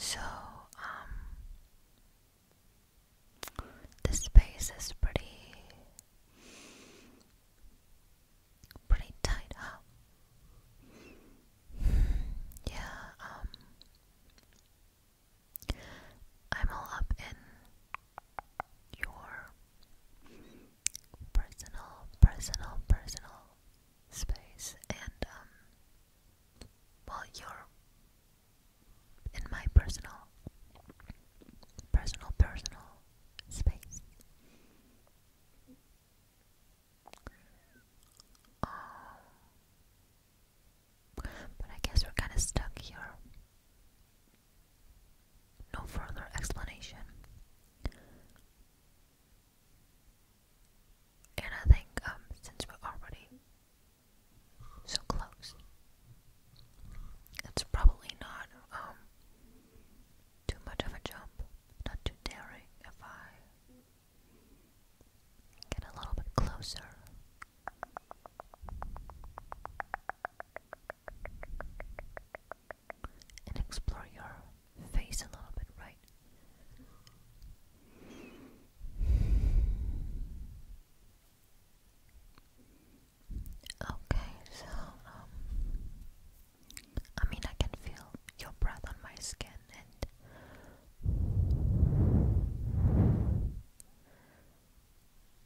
So, um, this space is pretty, pretty tight, huh? yeah, um, I'm all up in your personal, personal, personal space, and um, well, you're in my personal, personal, personal space. Um, but I guess we're kind of stuck here. No further explanation. And I think um, since we're already so close, it's probably not um, too much of a jump, not too daring if I get a little bit closer and explore your face a little bit, right? Okay, so um I mean I can feel your breath on my skin and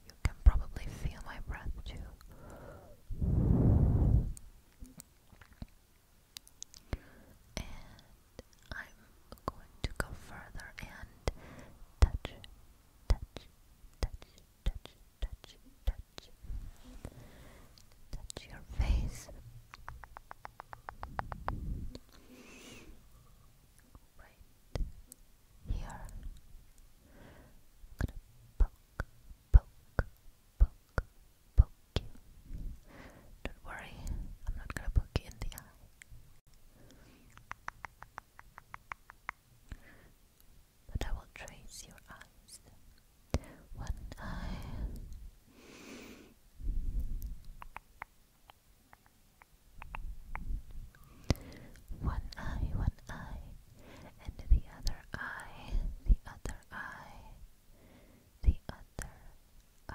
you can probably feel my breath too and I'm going to go further and touch, touch, touch, touch, touch, touch, touch your face right here. gonna poke, poke, poke, poke you. Don't worry, I'm not gonna poke you in the eye. But I will trace your eyes. One eye. One eye, one eye, and the other eye, the other eye, the other eye.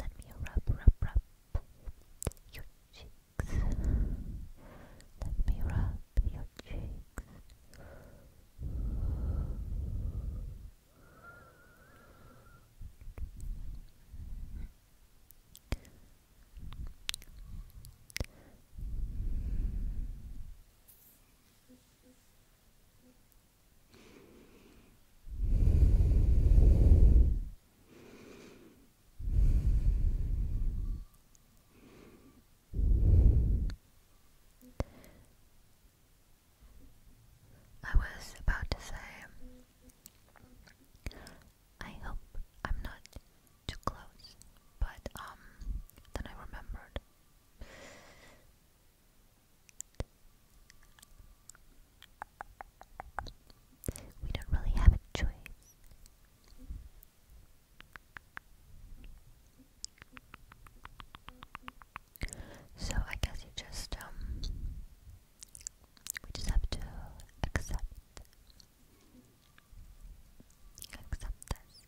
Let me rub, rub, rub your cheeks. Let me rub your cheeks. I was about to say I hope I'm not too close, but um, then I remembered. We don't really have a choice. So I guess you just um, we just have to accept Accept this.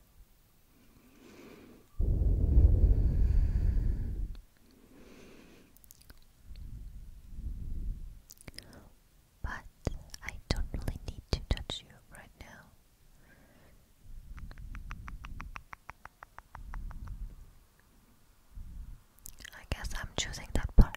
But I don't really need to touch you right now. I guess I'm choosing that part.